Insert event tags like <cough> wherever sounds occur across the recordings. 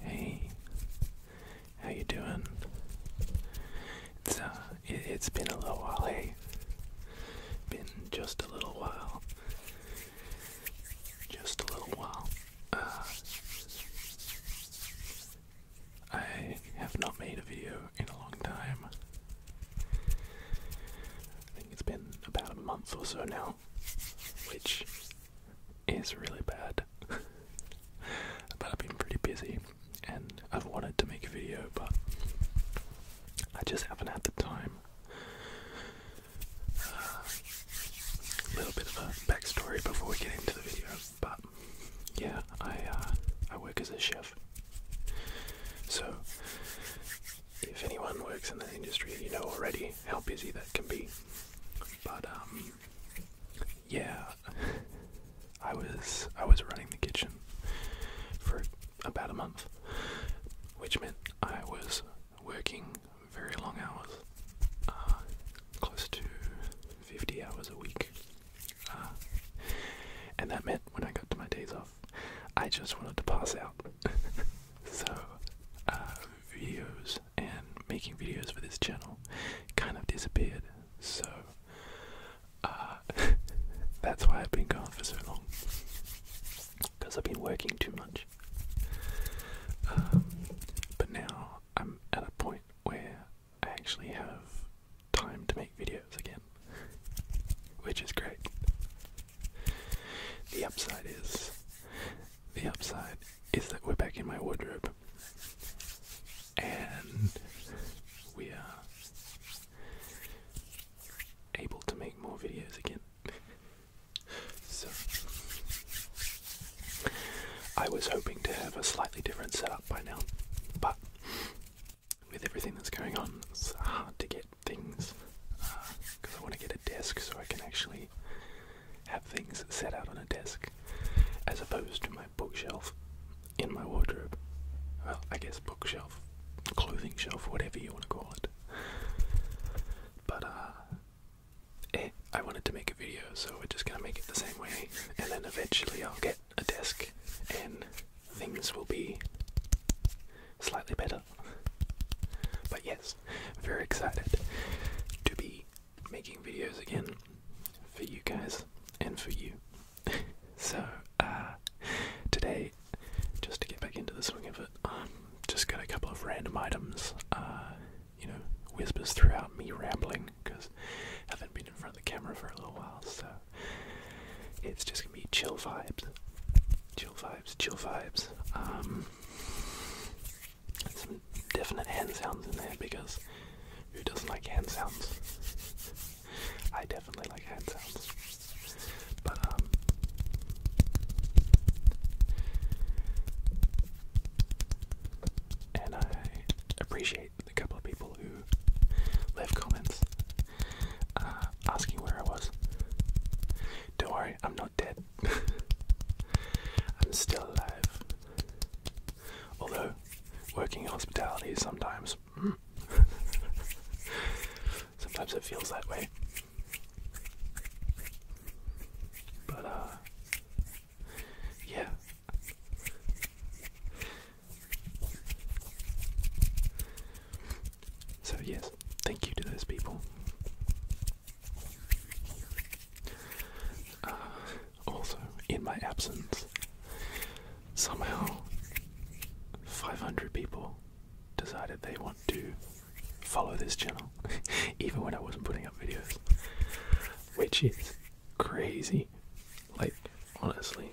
Hey, how you doing? It's uh, it, has been a little while. Hey, been just a little while. Just a little while. Uh, I have not made a video in a long time. I think it's been about a month or so now which is really bad. <laughs> but I've been pretty busy and I've wanted to make a video, but I just haven't had the time. A little bit of a backstory before we get into the video, but yeah, I uh, I work as a chef, so if anyone works in that industry, you know already how busy that can be. But um, yeah, I was I was running the kitchen for about a month, which meant I was working very long hours, uh, close to 50 hours a week. Uh, and that meant when I got to my days off, I just wanted to pass out. <laughs> so, uh, videos and making videos for this channel kind of disappeared. So uh, <laughs> that's why I've been gone for so long. Because I've been working too much. Um, but now I'm at a point where I actually have time to make videos again, which is great. The upside is the upside is that we're back in my wardrobe. And we are able to make more videos again. so I was hoping to have a slightly different setup by now, but with everything that's going on, it's hard to get things because uh, I want to get a desk so I can actually have things set out on a desk as opposed to my bookshelf in my wardrobe. Well, I guess bookshelf, clothing shelf, whatever you want to call it. But, uh, eh, I wanted to make a video, so we're just gonna make it the same way, and then eventually I'll get a desk and things will be slightly better. But yes, videos. Very excited to be making videos again for you guys and for you. so, uh, today, just to get back into the swing of it, um, just got a couple of random items, uh, you know, whispers throughout me rambling because I haven't been in front of the camera for a little while, so it's just gonna be chill vibes. Chill vibes, chill vibes. Um, some definite hand sounds in there because who doesn't like hand sounds? I definitely like hand sounds. But, um. And I appreciate the couple of people who left comments uh, asking where I was. Don't worry, I'm not dead. <laughs> I'm still alive. Although, working in hospitality sometimes. Hmm, <laughs> sometimes it feels that way. But, uh, Yeah. So, yes, thank you to those people uh, also, in my absence, somehow 500 people decided they want to follow this channel, <laughs> even when I wasn't putting up videos, which is crazy. Like, honestly,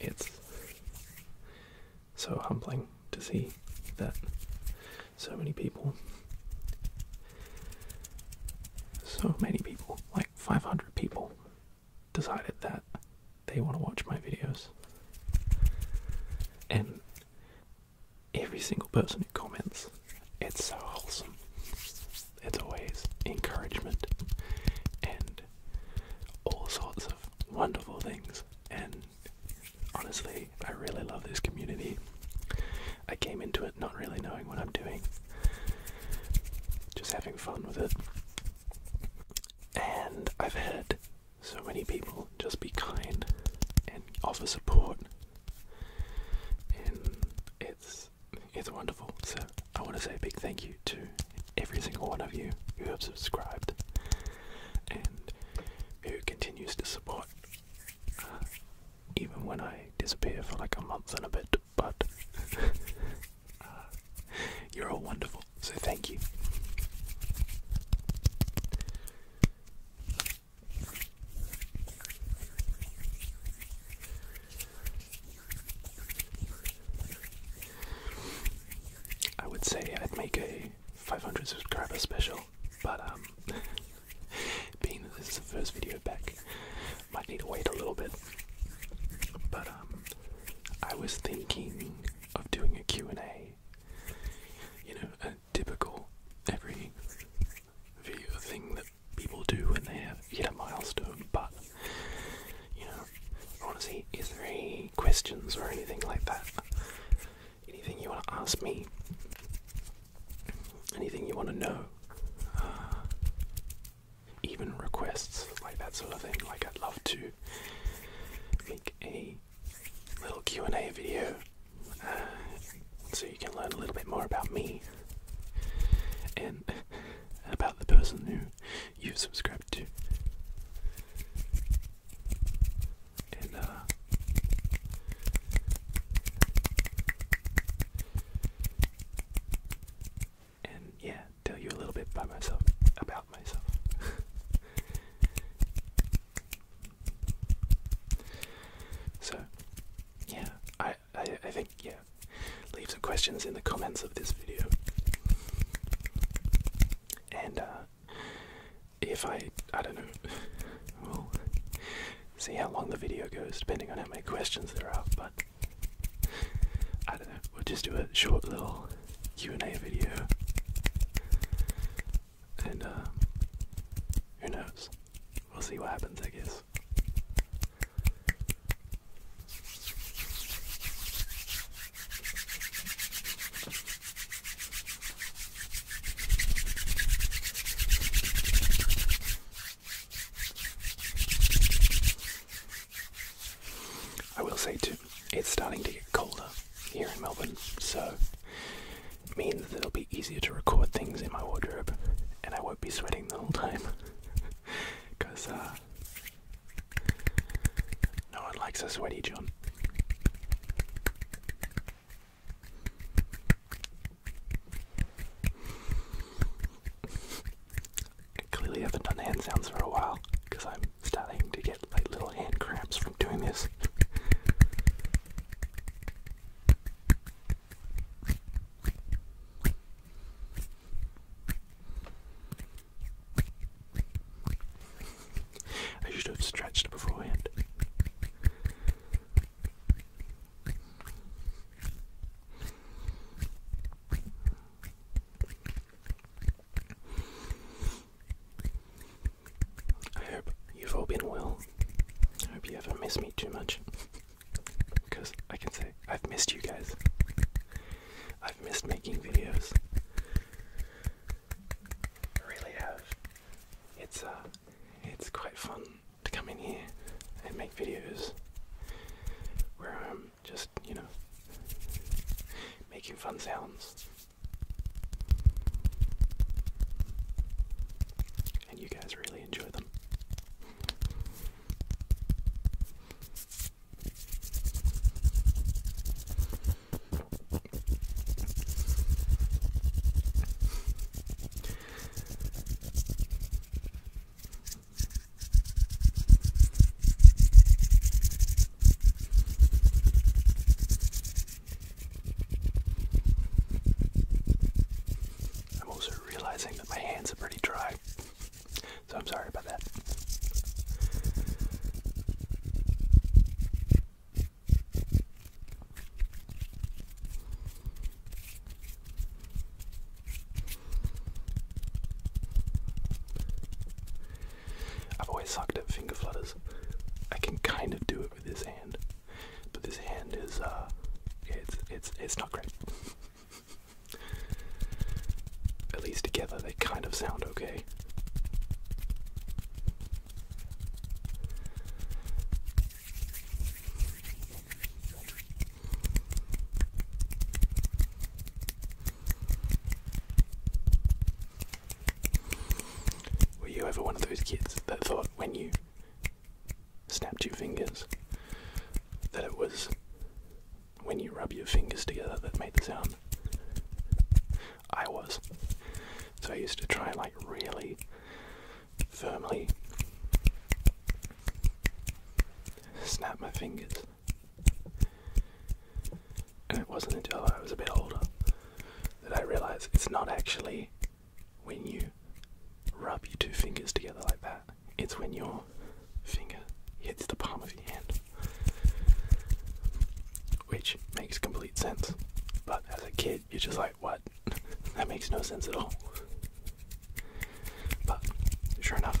it's so humbling to see that so many people. So many people, like 500 people, decided that they want to watch my videos. And every single person who comments, it's so It's always encouragement and all sorts of wonderful things. And honestly, I really love this community. I came into it not really knowing what I'm doing, just having fun with it. And I've had so many people just be kind and offer support, and it's it's wonderful. So I want to say a big thank you to every single one of you who have subscribed and who continues to support even when I disappear for like a month and a bit. But <laughs> you're all wonderful, so thank you. I would say I'd make a 500 subscriber special but um, <laughs> being that this is the first video back, might need to wait a little bit. But um, I was thinking of doing a Q and A. You know, a typical every video thing that people do when they hit a milestone. But you know, I want to see is there any questions or anything like that anything you want to ask me, anything you want to know, uh, even requests, like that sort of thing. Like I'd love to make a little Q&A video uh, so you can learn a little bit more about me and about the person who you've subscribed to. Uh, and yeah, tell you a little bit about myself about myself. <laughs> so yeah, I, I think yeah. Leave some questions in the comments of this video. And uh, if I, I don't know, we'll see how long the video goes depending on how many questions there are. But I don't know, we'll just do a short little Q and A video, and uh, who knows? We'll see what happens, I guess. I will say too, it's starting to get colder here in Melbourne, so it means that it'll be easier to record things in my wardrobe and I won't be sweating the whole time. Because, <laughs> uh, no one likes a sweaty John. Clearly, haven't done hand sounds for a while because I'm starting to get like little hand cramps from doing this. I should have stretched beforehand. I hope you've all been well. I hope you haven't missed me too much. Because I can say I've missed you guys. I've missed making videos. I really have. It's uh it's quite fun to come in here and make videos where I'm just, you know, making fun sounds. And you guys really enjoy them. I'm also realizing that my hands are pretty dry, so I'm sorry about that. I've always sucked at finger flutters. I can kind of do it with this hand, but this hand is uh, it's it's it's not great. at least together they kind of sound okay. Were you ever one of those kids that thought when you snapped your fingers that it was when you rub your fingers together that made the sound? I was. So I used to try like really firmly snap my fingers. And it wasn't until I was a bit older that I realized it's not actually when you rub your two fingers together like that, it's when your finger hits the palm of your hand. Which makes complete sense. But as a kid, you're just like, what? that makes no sense at all. But sure enough,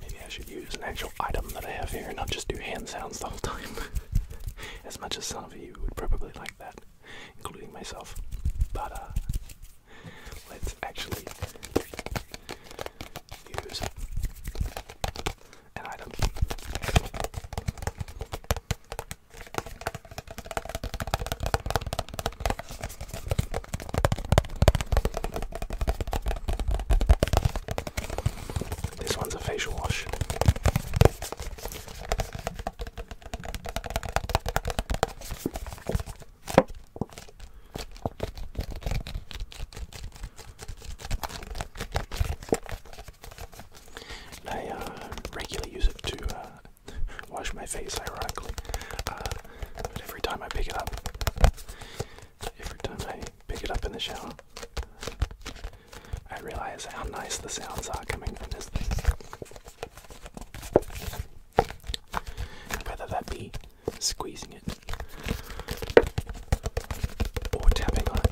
Maybe I should use an actual item that I have here and not just do hand sounds the whole time. <laughs> as much as some of you would probably like that, including myself. But uh, let's actually use an item. This one's a facial wash. I uh, regularly use it to uh, wash my face, ironically, uh, every time I pick it up, every time I pick it up in the shower. I realize how nice the sounds are coming from this thing. Whether that be squeezing it or tapping on it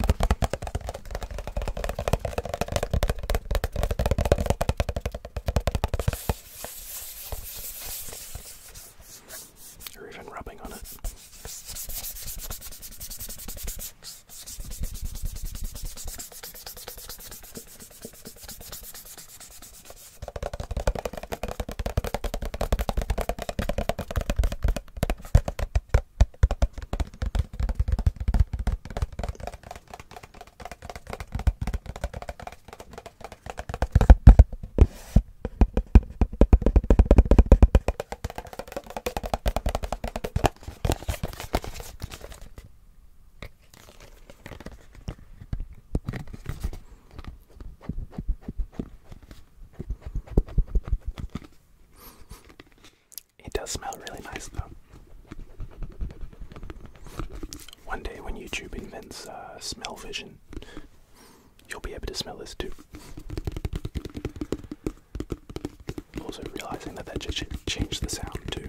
or even rubbing on it. It does smell really nice though. One day when YouTube invents uh, smell vision, you'll be able to smell this too. Also realizing that that just changed the sound too.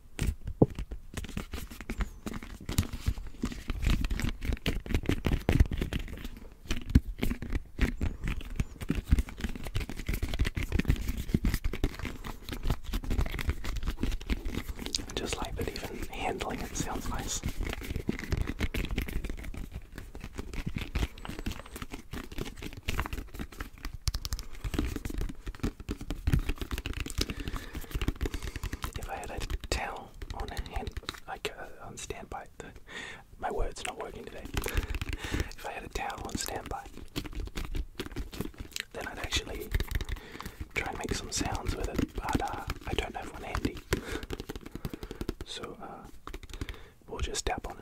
I just like that even handling it sounds nice. If I had a towel on hand, like uh, on standby, my word's not working today. if I had a towel on standby, then I'd actually try and make some sounds with it, but uh, I don't have one handy. So uh, we'll just tap on it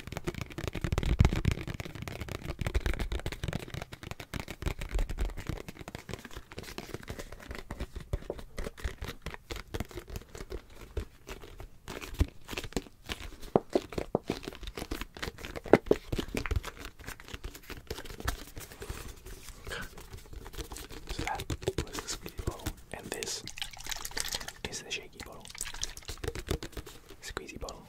So that was the squeezy bottle, and this is the shaky bottle. Squeezy bottle.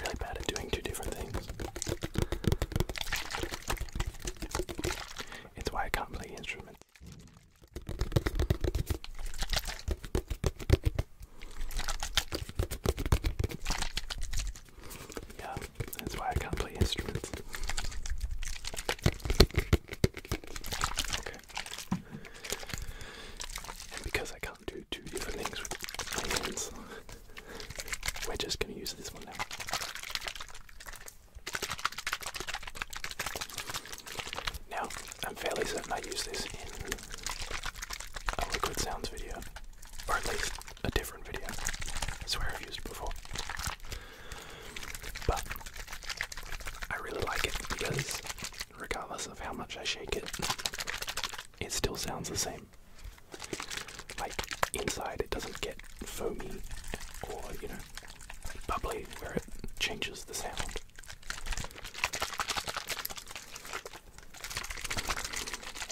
really bad at doing two different things. It's why I can't play instruments. Yeah, that's why I can't play instruments. Okay because I can't do two different things with my hands, we're just going to use this one now. Now, I'm fairly certain I use this in a Liquid Sounds video, or at least a different video. I swear I've used it before. But I really like it because regardless of how much I shake it, it still sounds the same. Like inside, it doesn't get foamy or, you know, bubbly where it changes the sound.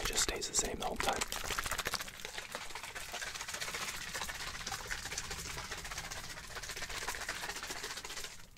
It just stays the same the whole time.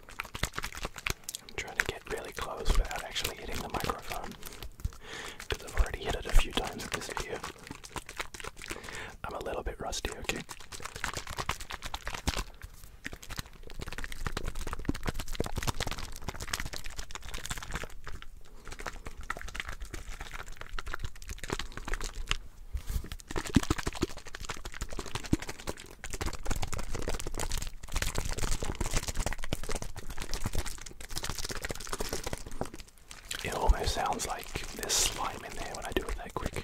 I'm trying to get really close without actually hitting the microphone because I've already hit it a few times in this video. I'm a little bit rusty, okay? It almost sounds like there's slime in there when I do it that quick.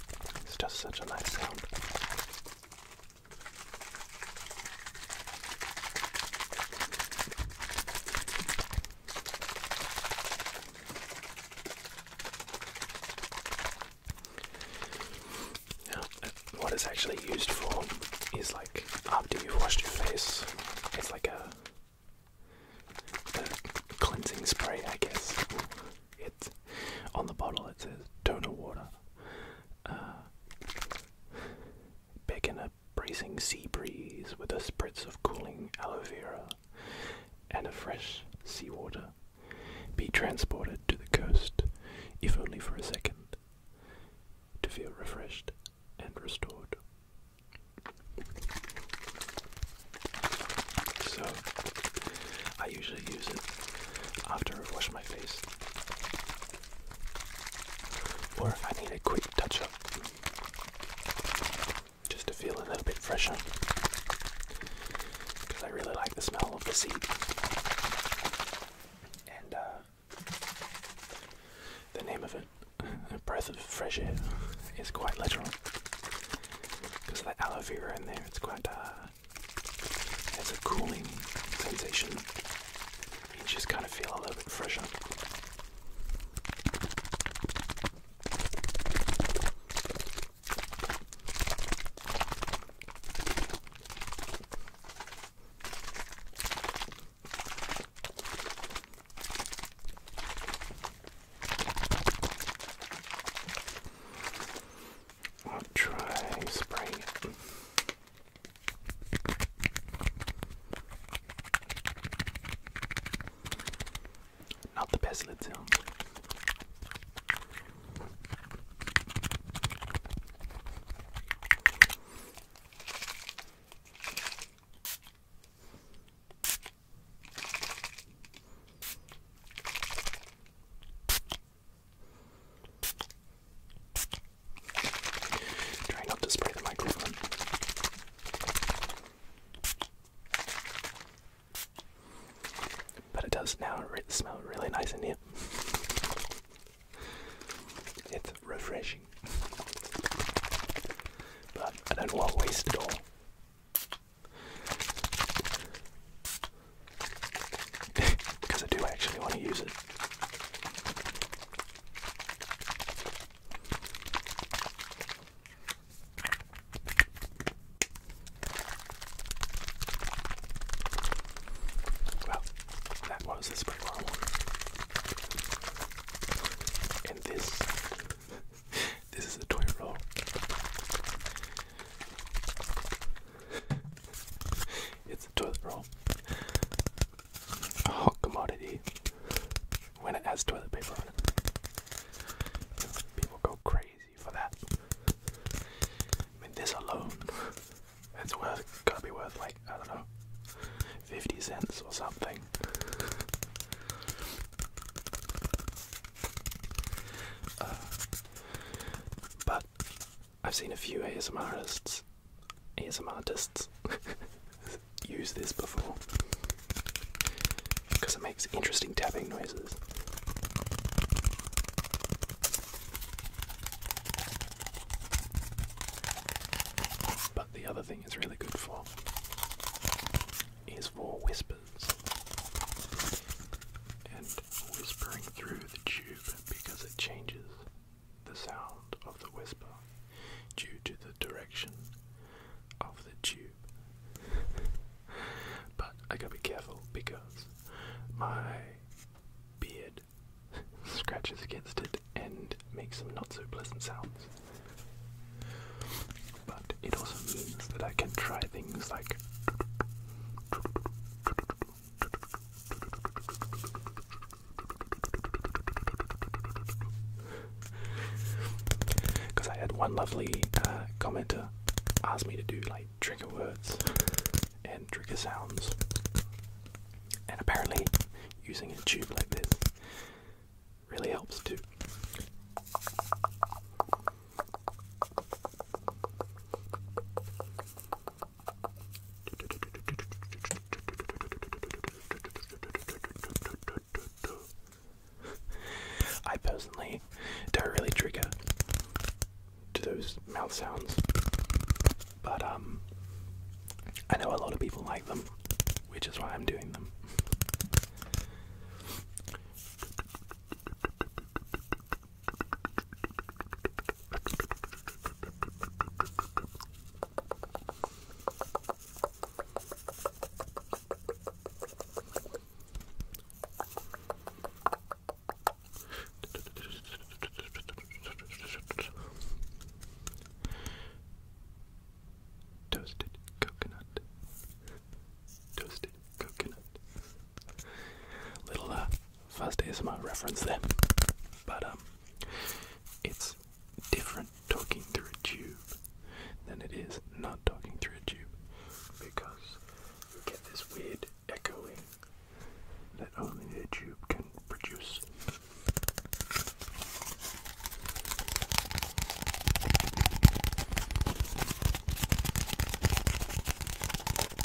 It's just such a nice sound. what it's actually used for is like after you've washed your face, it's like a cleansing spray, I guess. It's on the bottle. It says Tona water. Uh, in a bracing sea breeze with a spritz of cooling aloe vera and a fresh seawater. Be transported to the coast, if only for a second, to feel refreshed and restored. So I usually use it after I wash my face. Or if I need a quick touch up. Just to feel a little bit fresher. Because I really like the smell of the seed. And uh, the name of it, <laughs> breath of fresh air, is quite literal. Because of the aloe vera in there, it's quite uh, it's a cooling sensation. You just kind of feel a little bit fresher. I'll try spraying it. Not the best lid Try not to spray the microphone. But it does now smell really nice in here. It's refreshing. But I don't want to waste it all because I do actually want to use it. Well, that was the spray bottle. And this, <laughs> this is the toy roll it's a toilet roll. A hot commodity when it has toilet paper on it. People go crazy for that. I mean, this alone, it's worth, gotta be worth like, I don't know, 50 cents or something. Uh, but I've seen a few ASM artists, <laughs> use this before because it makes interesting tapping noises. But the other thing it's really good for is for whispers whispering through the tube because it changes the sound of the whisper due to the direction of the tube. <laughs> but I gotta be careful because my beard scratches against it and makes some not so pleasant sounds. But it also means that I can try things like because I had one lovely uh, commenter ask me to do like trigger words and trigger sounds, and apparently using a tube like this really helps too. I personally don't really trigger to those mouth sounds, but um, I know a lot of people like them, which is why I'm doing them. Toasted coconut. Toasted coconut. Little uh first my reference there. But um it's different talking through a tube than it is not talking through a tube because you get this weird echoing that only a tube can produce.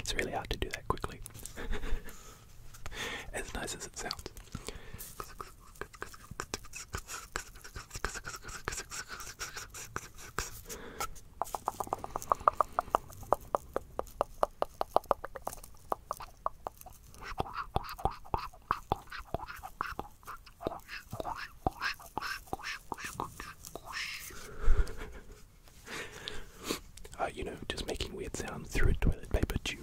It's really hard to do that quickly. <laughs> as nice as it sounds uh, you know, just making weird sounds through a toilet paper tube.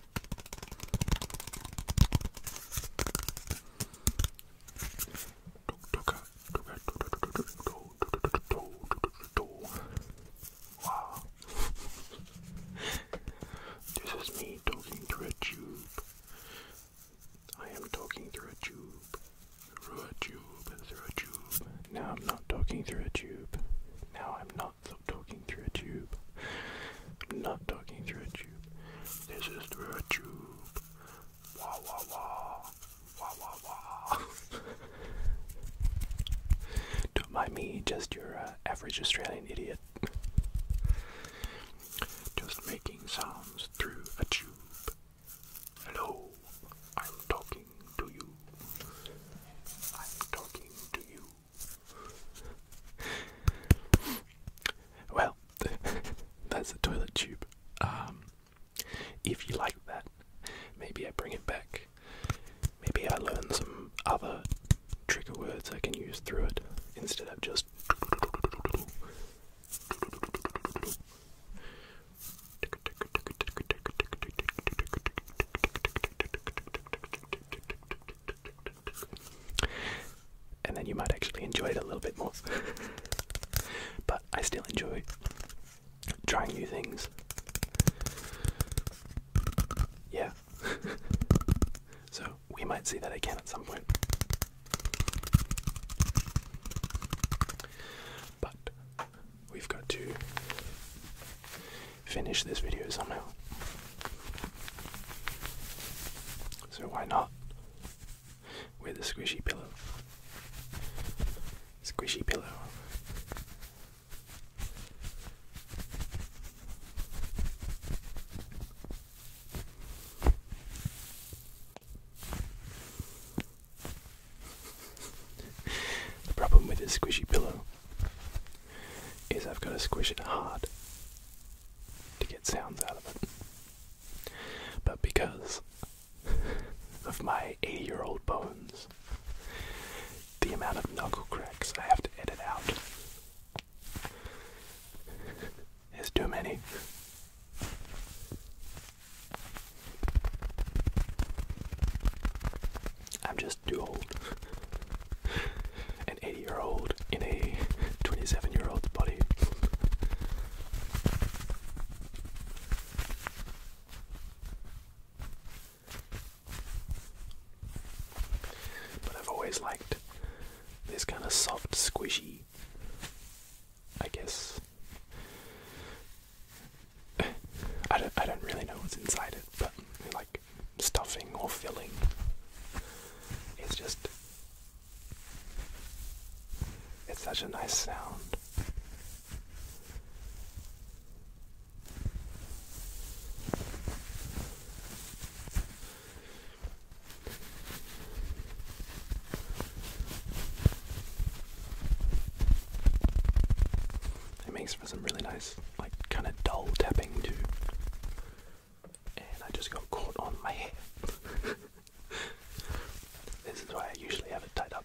Wow. this is me talking through a tube. I am talking through a tube. Through a tube, through a tube. Now I'm not talking through a tube. Now I'm not I'm talking through a tube. not talking through a tube. This is through a tube. Wah wah wah. Wah wah wah. <laughs> Don't mind me, just your uh, average Australian idiot. Just making sounds through a tube. Hello, I'm talking to you. I'm talking to you well, <laughs> that's a toilet tube. Um, if you like that, maybe I bring it back. Maybe I learn some other trigger words I can use through it instead of just and then you might actually enjoy it a little bit more. but I still enjoy trying new things. Yeah. <laughs> so we might see that again at some point. But we've got to finish this video somehow. So why not? With a squishy pillow. Squishy pillow. the problem with this squishy pillow is I've got to squish it hard to get sounds out of it. But because <laughs> of my 80 year old bones, the amount of knuckle cracks I have to edit out <laughs> is too many. I'm just too old an 80 year old in a 27 year old's body. But I've always liked this kind of soft, squishy, I guess. I don't, I don't really know what's inside it, but I like stuffing or filling. It's just. It's such a nice sound. It makes for some really nice, like, kind of dull tapping, too and I just got caught on my hair. <laughs> this is why I usually have it tied up.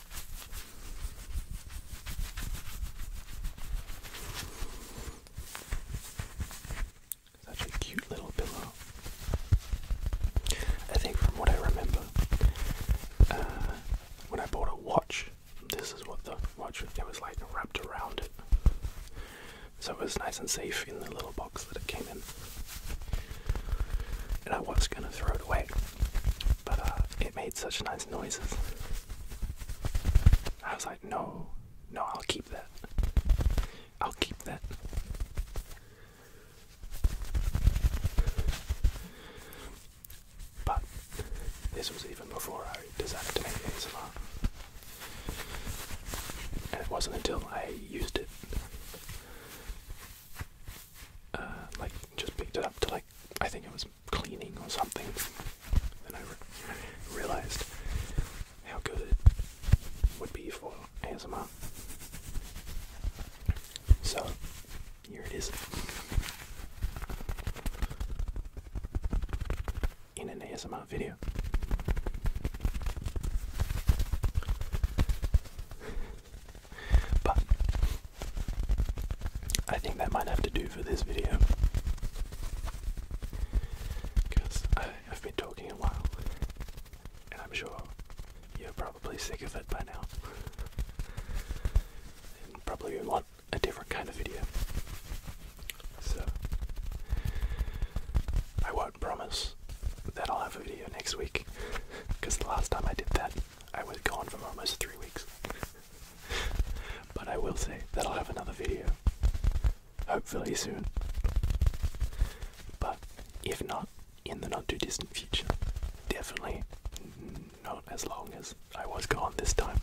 Such a cute little pillow. I think, from what I remember, uh, when I bought a watch, this is what the watch it was like wrapped around it. So it was nice and safe in the little box that it came in. And I was gonna throw it away, but uh, it made such nice noises. I was like, no, no, I'll keep that. I'll keep that. But this was even before I decided to make ASMR. And it wasn't until I used it, uh, like, just picked it up to, like, I think it was cleaning or something. Then I realized how good it would be for ASMR. So, here it is. In an ASMR video. but I think that might have to do for this video. Because I've been talking a while, and I'm sure you're probably sick of it by now. and probably want a different kind of video. So, I won't promise that I'll have a video next week, because the last time I did that, I was gone for almost three weeks but I will say that I'll have another video, hopefully soon. But if not, in the not too distant future, definitely not as long as I was gone this time.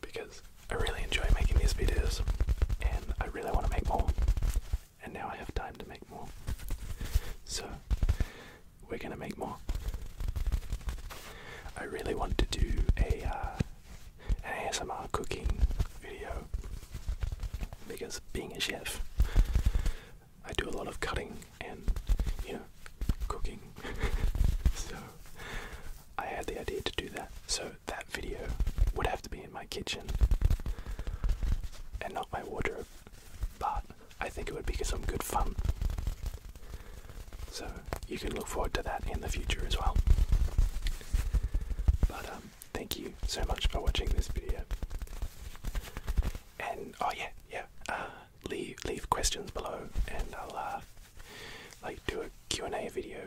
Because I really enjoy making these videos and I really want to make more. And now I have time to make more. So we're gonna make more. I really want to do a uh, an ASMR cooking video because being a chef, I do a lot of cutting and you know cooking. <laughs> so I had the idea to do that. So that video would have to be in my kitchen and not my wardrobe, but I think it would be some good fun. So you can look forward to that in the future as well. But um, thank you so much for watching this video. And oh yeah, yeah, uh, leave leave questions below, and I'll uh, like do a Q and A video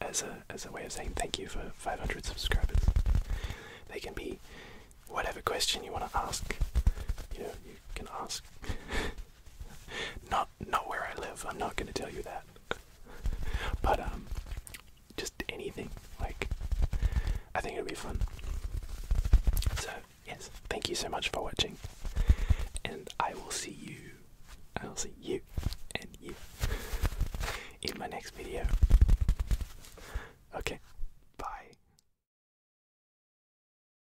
as a as a way of saying thank you for 500 subscribers. They can be whatever question you want to ask. You know, you can ask. <laughs> not not where I live. I'm not gonna tell you that. but um, just anything. Like, I think it'll be fun. So yes, thank you so much for watching, and I will see you. I'll see you and you in my next video. Okay, bye.